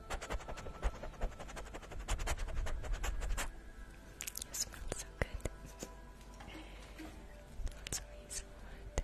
You smell so good. That's the reason you.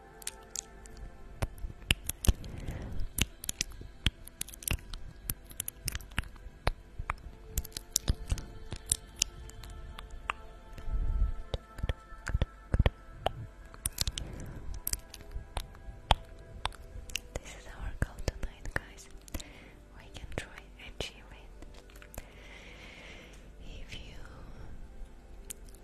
This is our goal tonight, guys. We can try achieve it. If you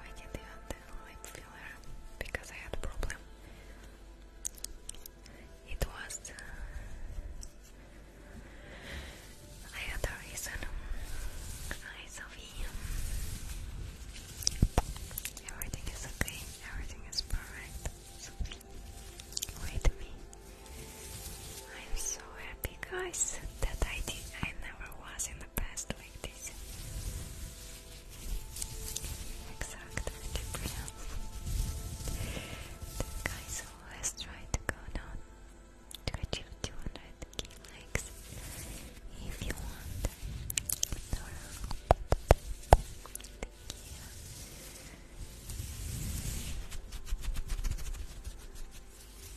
I didn't even do lip filler because I had a problem. It was uh, I had a reason. Hi Everything is okay. Everything is perfect. Wait me. I'm so happy guys that I did I never was in the past like this здесь. Exactly different. This guy's always trying to go down to achieve 200k likes if you want. Thank you.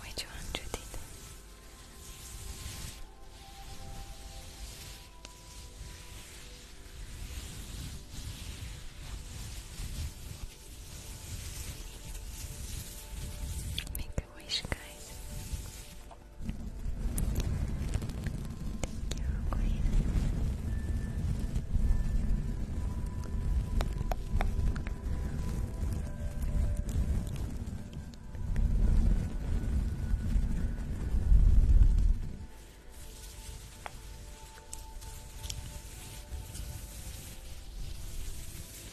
Which one, Judith? Make a wish, guys. Thank you, Queen. Thank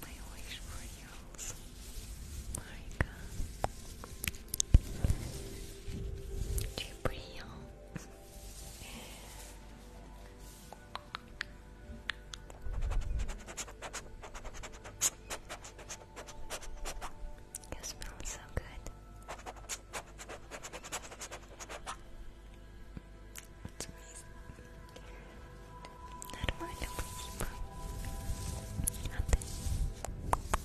My wish for you also, Marika. Tu es brillant. You smell so good. It's amazing. Нормально спасибо. А ты? Так, так, так.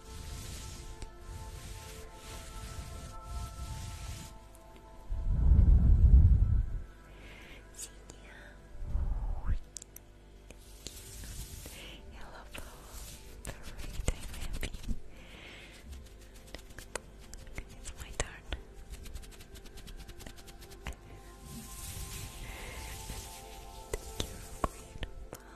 Hello, Paul. Perfect. I'm It's my turn. Thank you,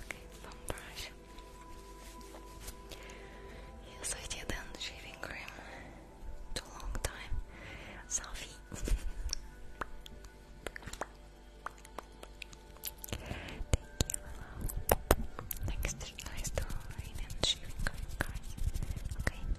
Okay, bum brush. Yes, I didn't shaving cream too long time. Sophie. Thank you. Next, nice to rain shaving cream, guys. Okay.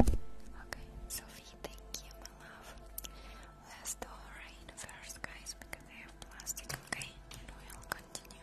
Okay, Sophie, thank you, my love. Let's do rain first, guys, because I have plastic, okay? we'll continue.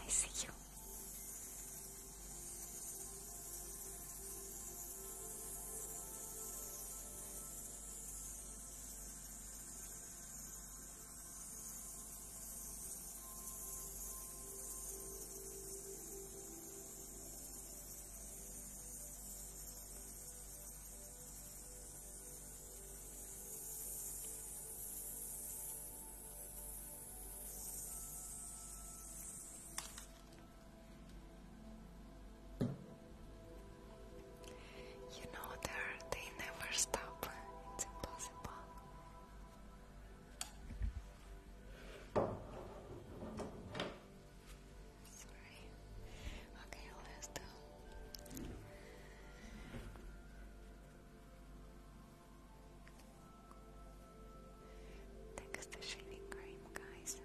I see you. You know, they they never stop. It's impossible. Sorry. Okay, let's Take the shaving cream, guys. Okay.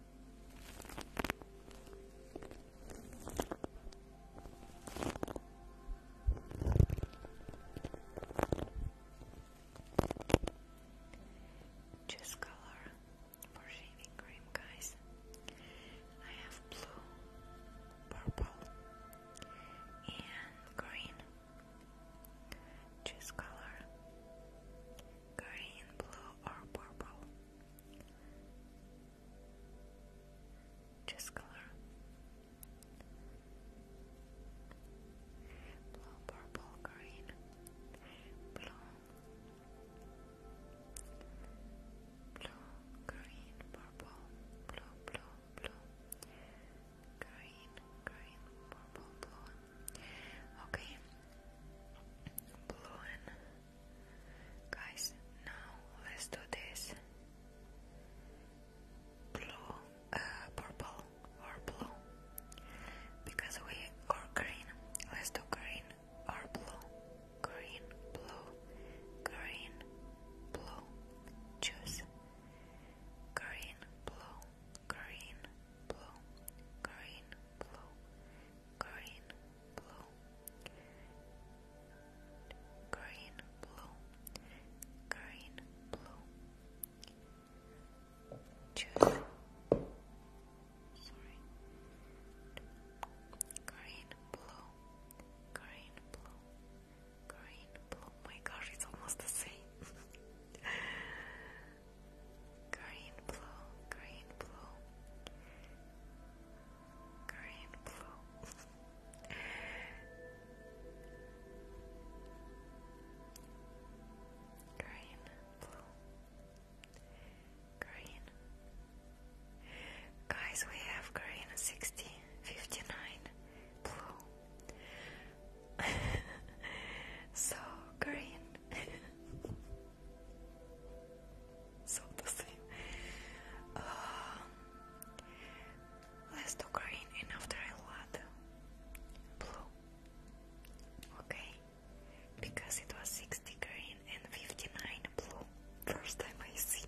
Choose color for shaving cream, guys. I have blue, purple, and green. Choose color green, blue, or purple. Just color. Blue, purple, green, blue, blue, green, purple, blue, blue, blue, green, green, purple, blue. Okay, blue and Guys, now let's do this. Blue, uh, purple or blue. Because we or green. Let's do green or blue. Green, blue, green, blue. Choose. Green, blue, green, blue, green, blue green, blue, green, blue, green, blue. Choose. Sorry. Green, blue, green, blue, green, blue. My gosh, it's almost the same. green, blue, green, blue, green, blue. Green, blue, green. Guys, we have green 60, 59, blue. so green. so the same. Um, let's do green and after I'll blue. Okay, because it was 60 green and 59 blue. First time I see.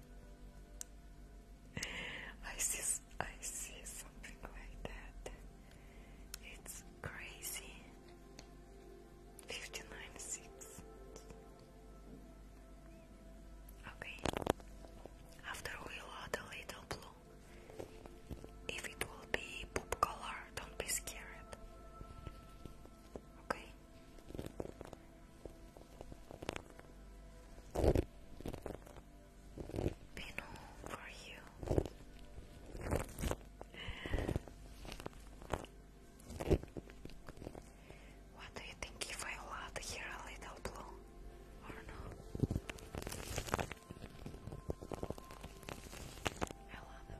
I see. I see something like that. It's crazy. Fifty nine six. Okay. After we add a little blue. If it will be poop color, don't be scared. Okay. Pino for you. What do you think if I will add here a little blue or no? I'll add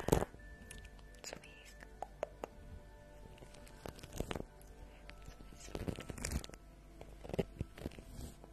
after. Cipriano. Swiss.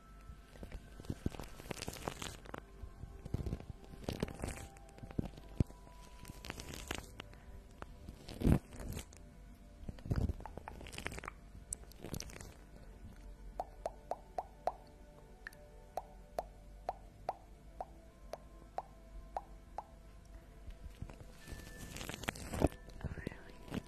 I really need to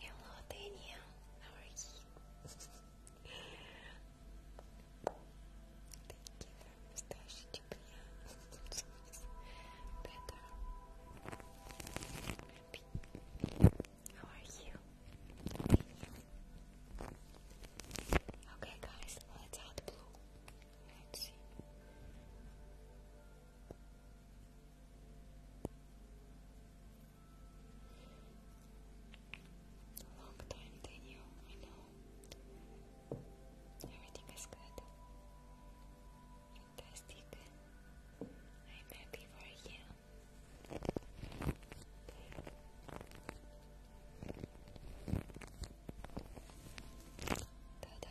Hello, Daniel. How are you? Thank you for mustache. Better. How are you? Okay, guys, let's add blue. Let's see. Long time, Daniel. I know. Everything is good. Best you I'm happy for you. ta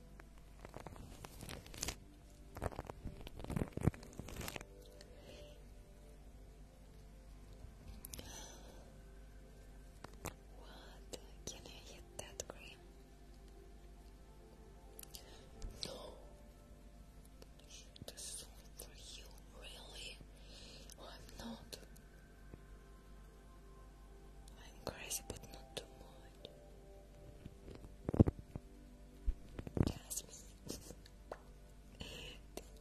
What? Can I hit that cream? No. This is for you, really? I'm not. I'm crazy, but not too much. Jasmine, thank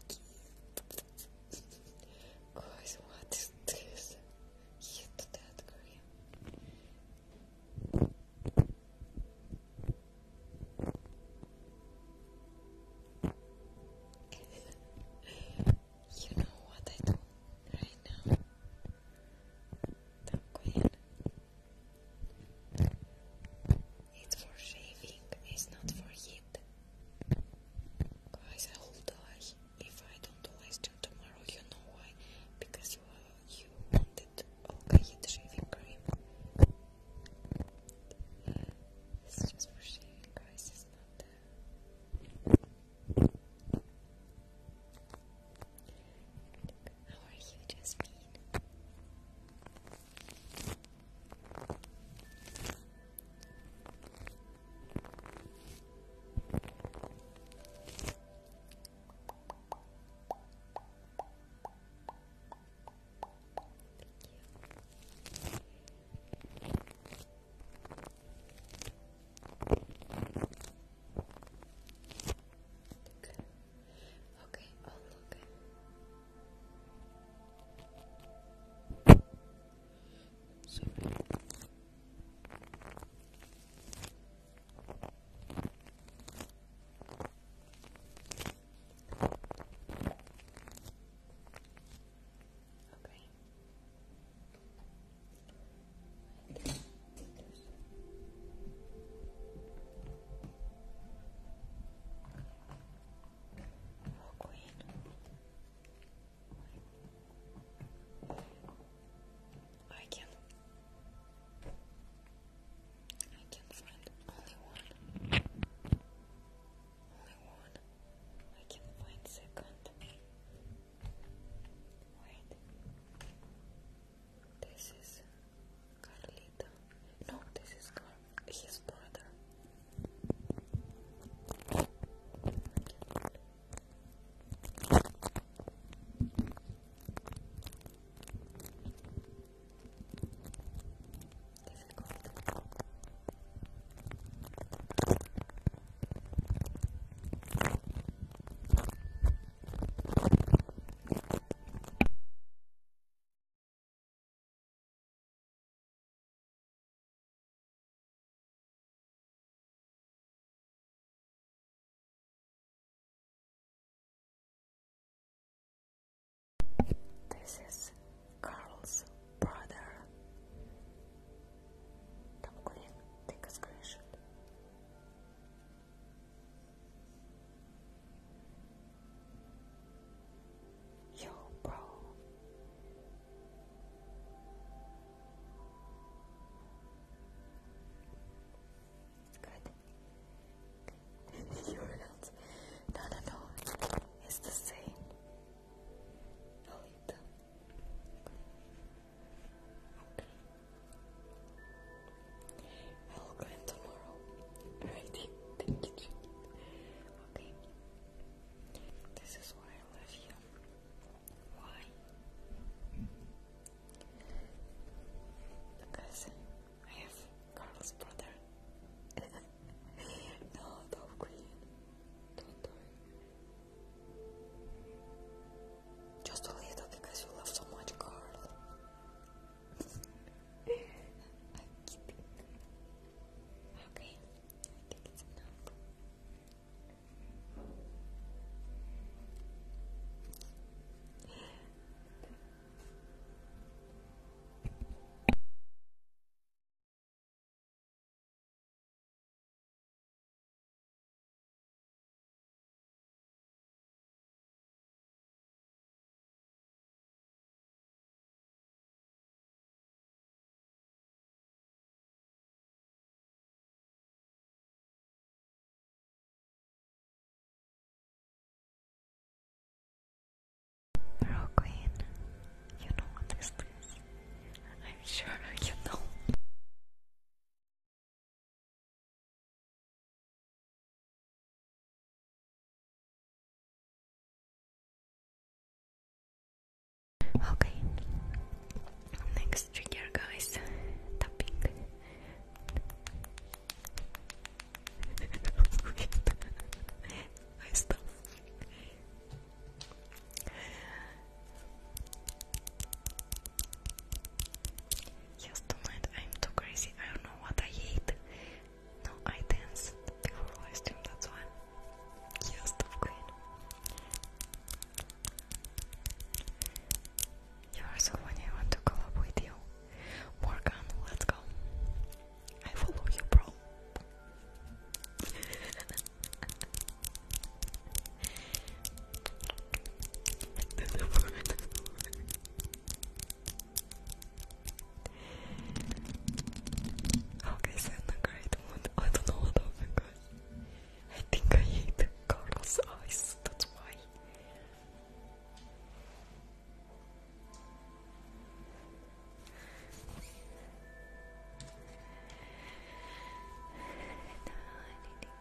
you. Guys, what is this? Hit that cream. You know what I do right now? Tranquil. It's for shaving, it's not for heat. Guys, I will die if I don't last you tomorrow. You know why? Because you, you wanted Olga heat shaving cream. It's just for shaving, guys. It's not. How are you, Jasmine? Thank you. Look. Okay, i look. Sorry. Okay. I can I can find only one. Only one. I can find second. This is Carlito. No, this is Car his brother. Difficult. This is Carl's brother. Tom Green, take a screenshot. Yo, bro. Good. You're not. No, no, no. It's the same. I'll eat them. I will go tomorrow. Alrighty, thank you, Okay. This is why I love you. Why? Because I have Carl's brother. no, don't Don't do just a little because you love so much Carl. Okay, I think it's enough. Girl Queen, you know what this is. I'm sure you know. Okay, next trigger, guys. Tapping. I stop. Yes, tonight I'm too crazy. I don't know what I hate. No, I danced before live stream, that's why. Yes, Top Queen. You are so funny, I want to collab with you. Morgan, let's go. I follow you, bro. okay, send the great one. I don't know what happened, guys. I think I hate Carl's eyes, that's why.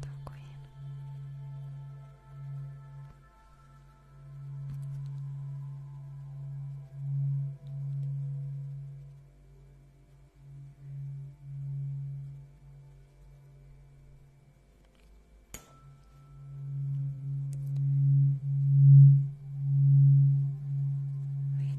Dark Queen. Wait,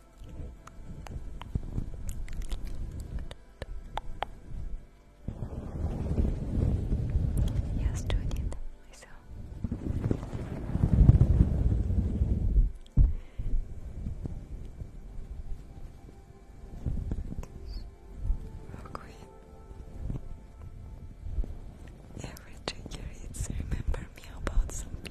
Я студент myself. Okay. Every trigger is remember me about something.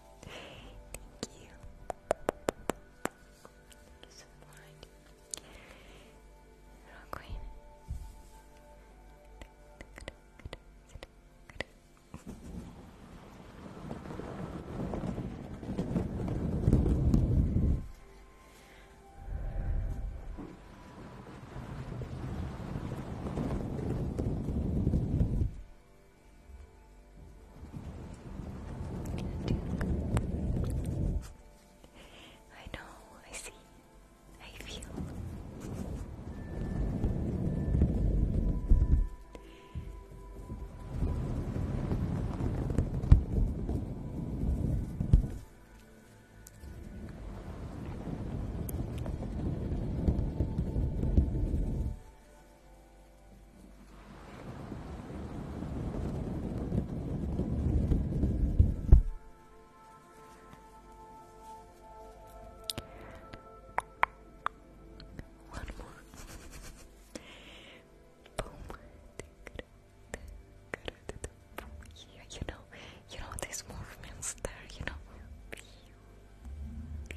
Thank you. Support. I know, I see, I feel. One more. Boom. you know, you know these movements there, you know you,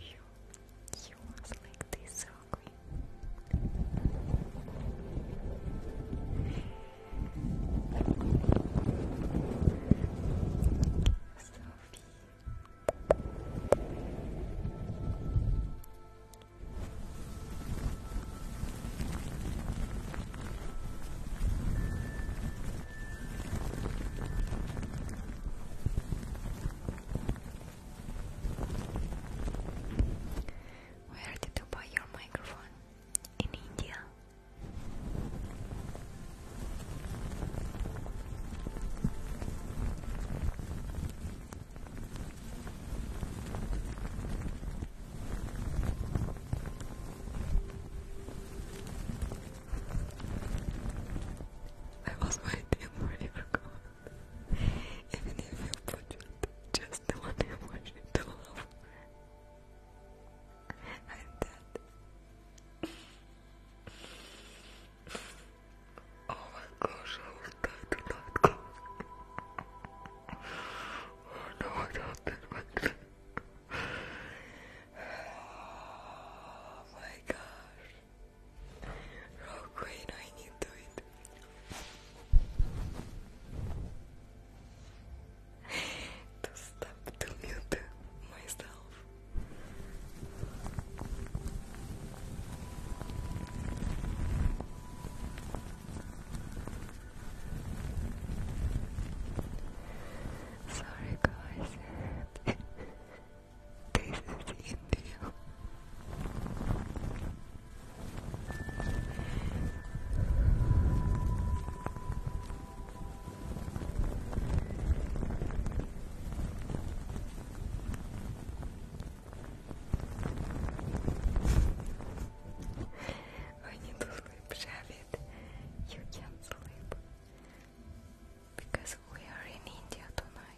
you was like this, ugly. Sophie. Sophie, where did you buy your microphone? In India. I was waiting for you to even if you put just the one emotion to and that. Oh my gosh, I was dead tonight, Oh no, I don't think my god. Oh my gosh. I need to it. to stop to mute myself. Sorry guys. This is India. need to sleep, Shavit. You can't because we are in India tonight.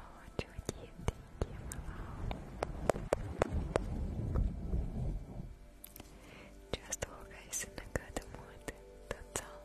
Oh, Judy, thank you. Just hope guys in good mood. That's all.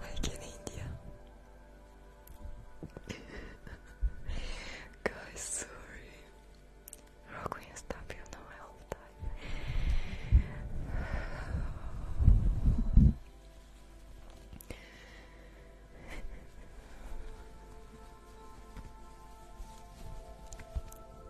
like in India. Guys, sorry. Rock when you stop, you know I all time.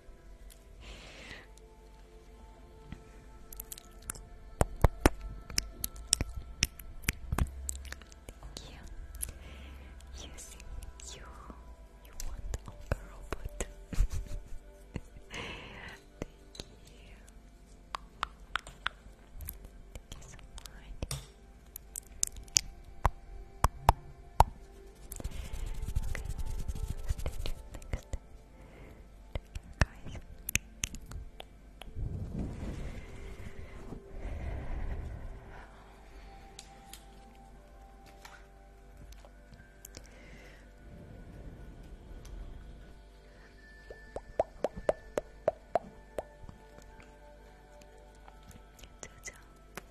Thank you. You you want a robot. Thank you stay tuned next time. Take care, guys. Ciao, ciao.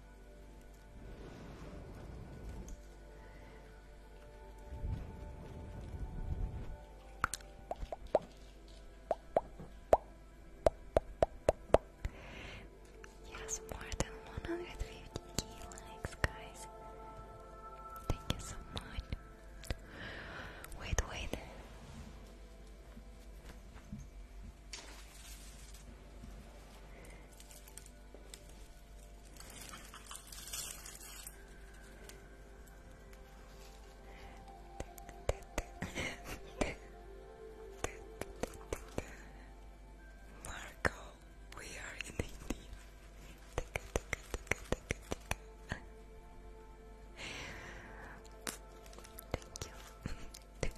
Yes, more than 150 likes, guys. Thank you so much. Wait, wait. Marco, we are in India. Thank you. Thank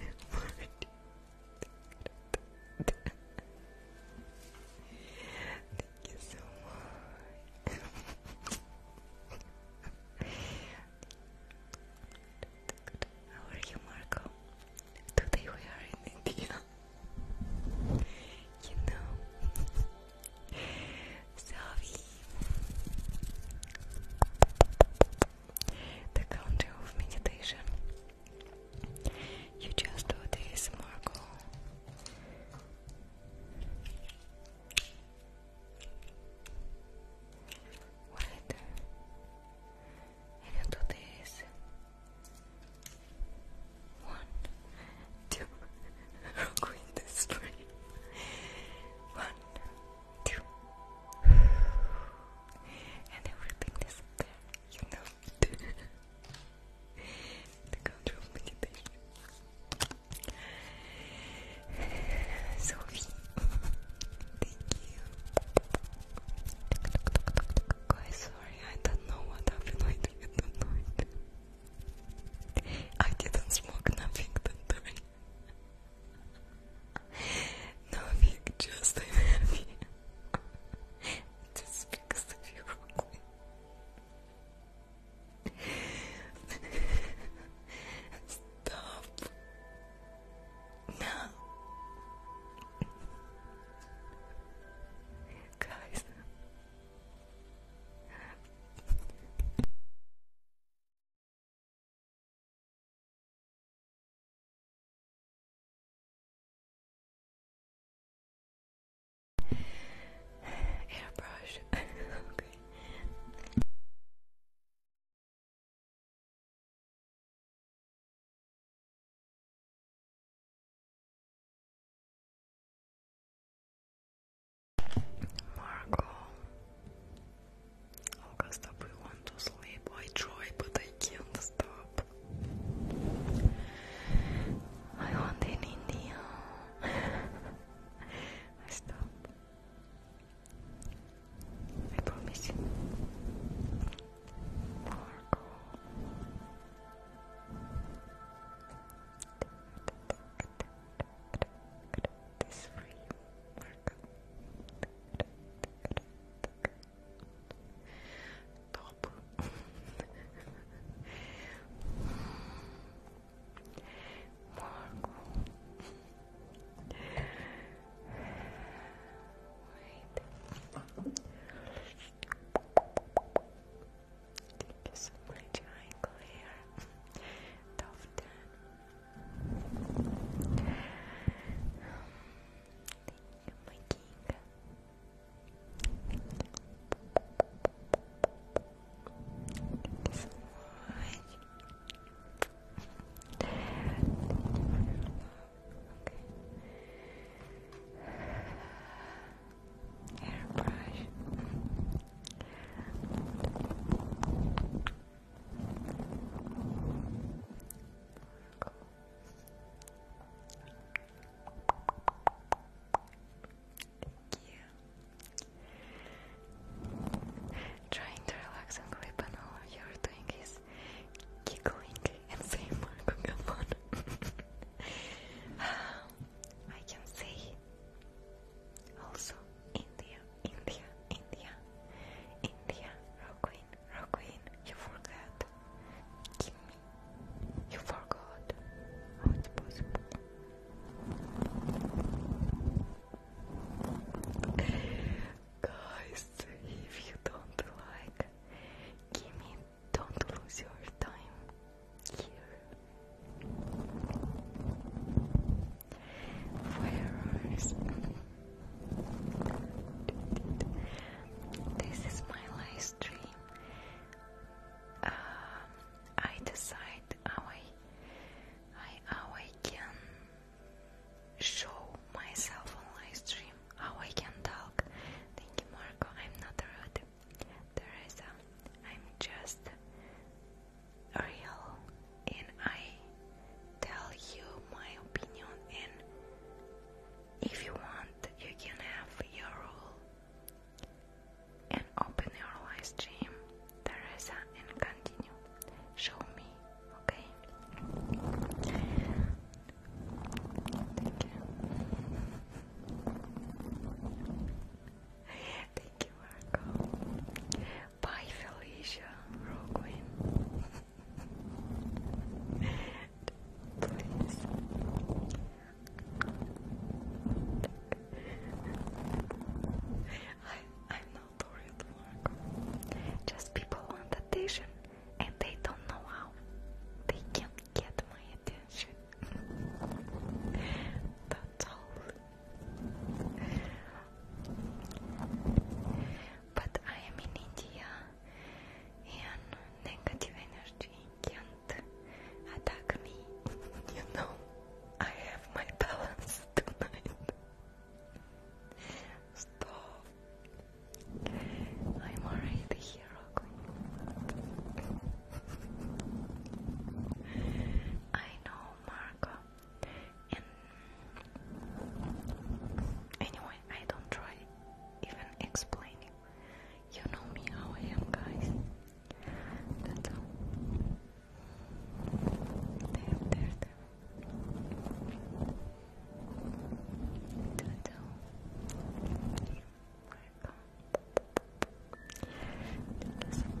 you so much. How are you, Marco? Today we are in India. You know, sorry the country of meditation. You just do this, Marco. What? And do this. One, two. and everything is up there, you know it. the control meditation. Sophie, thank you. Guys, sorry, I don't know what I didn't I didn't smoke nothing that time. Нафиг, честно, нафиг. Just because of you Stop. No. Guys. Airbrush. okay. Marco Olga, want to sleep. I try, but I can't stop. I want in India. I stop. I promise Marco this free workout. Marco. Wait. Keep you some much angle here you, Thank you Airbrush. Trying to relax and clip and all you're doing is giggling and saying Marco, come on. Um, I can say also India. India, India, India, Roqueen, Roqueen, you forgot. Give me, you forgot. How possible? Guys, if you don't like, give me, don't lose your time here. This is my live stream. Um, I decide how I, how I can show myself on live how I can talk. Thank you, Marco. I'm not rude, Teresa. I'm just real and I tell you my opinion and if you want you can have your rule and open your live stream Teresa and continue show me okay Thank you. Thank you, Marco. Bye, Felicia, Roguin. I, I'm not the Just people want attention and they don't know how. They can get my attention. That's all but I am in India and negative energy can't attack me. you know, I have my balance tonight. Stop. I'm already the I know Marco anyway, I don't try even explaining. You know me how I am, guys. That's There, there, there. That's all. Thank you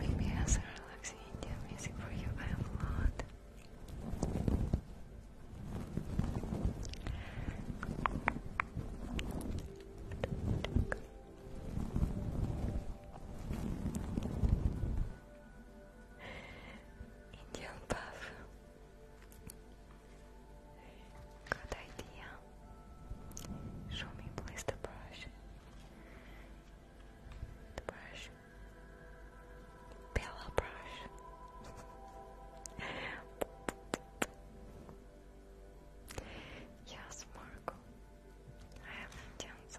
Maybe as a relaxing Indian music for you, I have a lot. Indian puff. Good idea. Show me, please, the brush. The brush pillow brush. yes, Marco. I have a chance.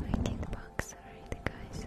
Waiting box already, guys.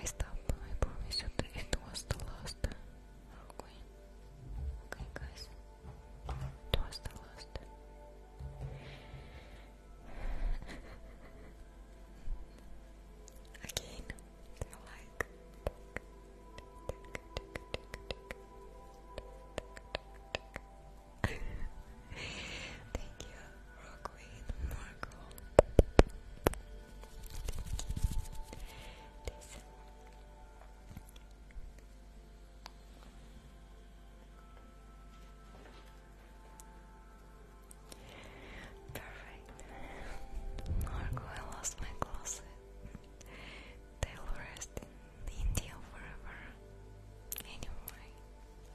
I stopped. I promise you it was the last. Okay. Okay, guys. It was the last. Again, they like. Thank you, Rockweed Marco. Listen. Perfect. Marco, I lost my closet. They will rest in India forever. Anyway.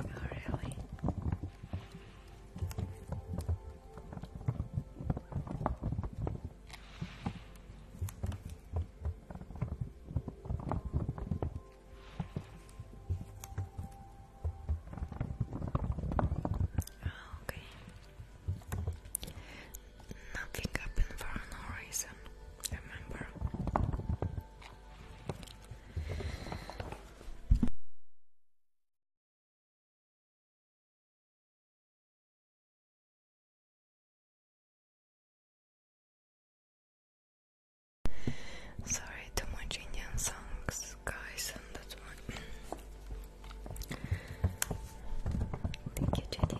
Oh, really? Okay. Nothing happened for no reason, remember? Sorry, too much Indian songs, guys, and that's why Thank you, Judith.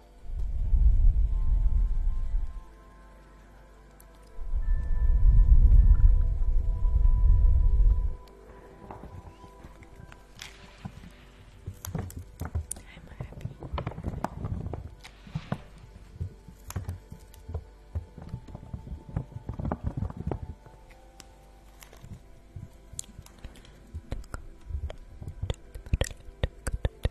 I'm happy. Good, good, good, good,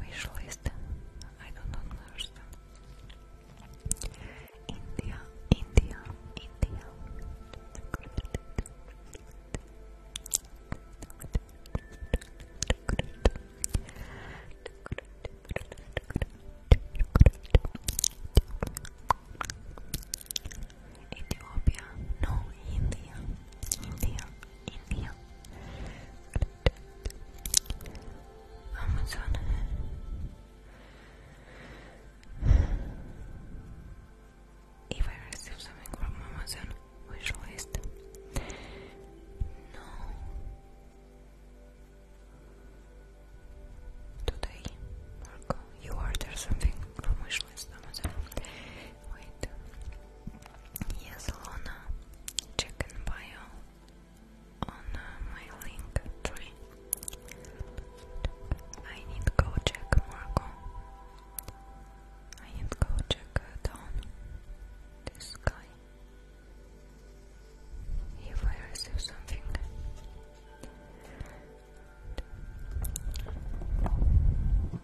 wish list. I don't understand. India, India, India. Ethiopia, no India, India, India, Amazon. If I receive something from Amazon, wish list. No. Today, Marco, you order something from wish list Amazon. Wait. Yes, Lona. Check in bio on uh, my link tree. I need to go check Marco. I need to go check uh, down this guy. If I receive something.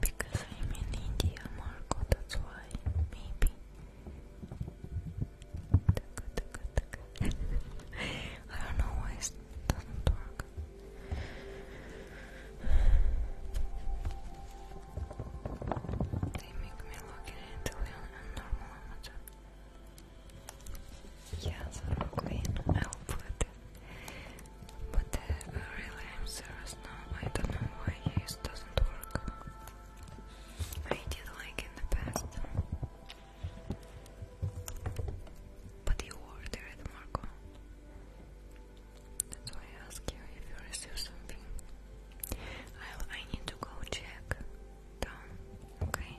Because I'm in India, Marco, that's why. Maybe. I don't know why it doesn't work. They make me look at it until normal amateur. Yes, Queen, I'll put but uh, really, I'm serious now. I don't know why this doesn't work. I did like in the past. But you ordered, Marco. That's why I ask you if you receive something. i I need to go check down, okay?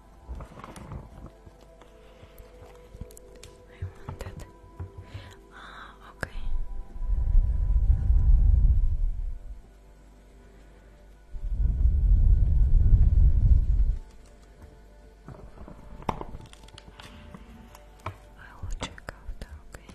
I wanted. okay. I will check out, okay.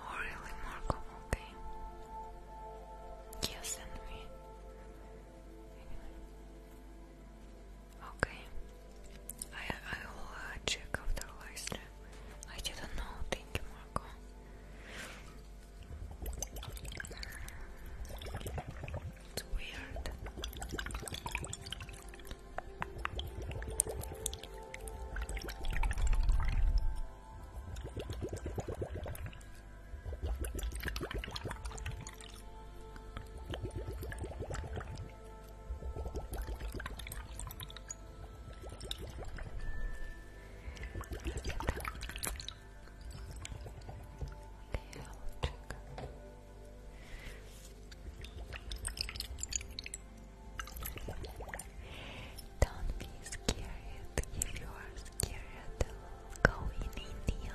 Oh, really, Marco? Okay. Yes, and me. Okay. I I will uh, check after live I didn't know. Thank you, Marco. It's weird. Okay, Don't be scared. If you are scared, i go in India.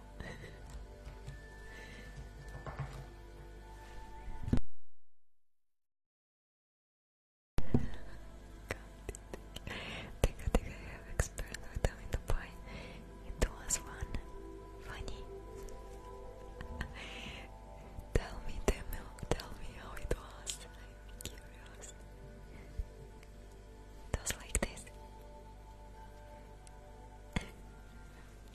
think I think I have experience with them in Dubai. It was fun, funny. tell me, tell tell me how it was. I'm curious. was like this.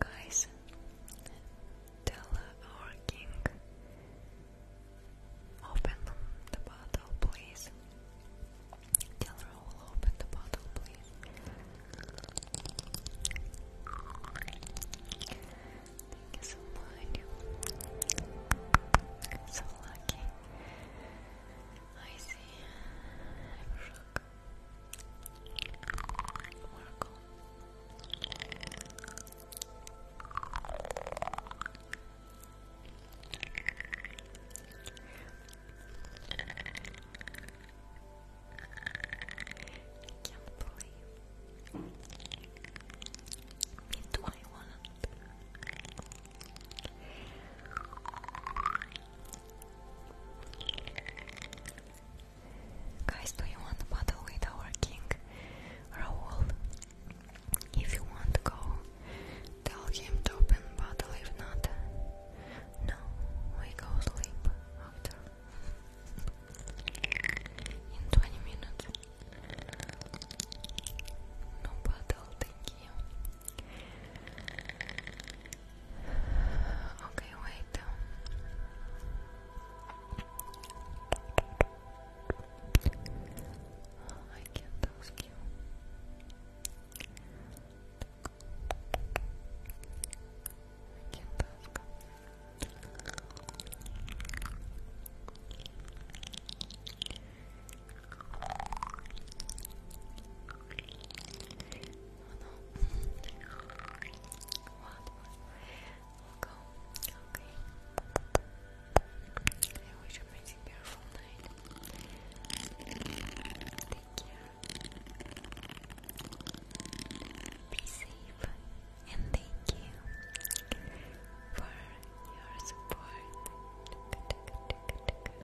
Guys, tell our king, open the bottle, please. Tell her I open the bottle, please. Thank you so much. So lucky. I see. I'm shook. Oracle. I can't believe. Me too, I want it. Guys, do you want to battle with our king Raoul? If you want to go, tell him to open battle, if not, no, we go sleep after in 20 minutes. No battle, thank you. Okay, wait. I can't ask you. I can't ask. I'll go. amazing beautiful night. Take care. Be safe. And thank you for your support.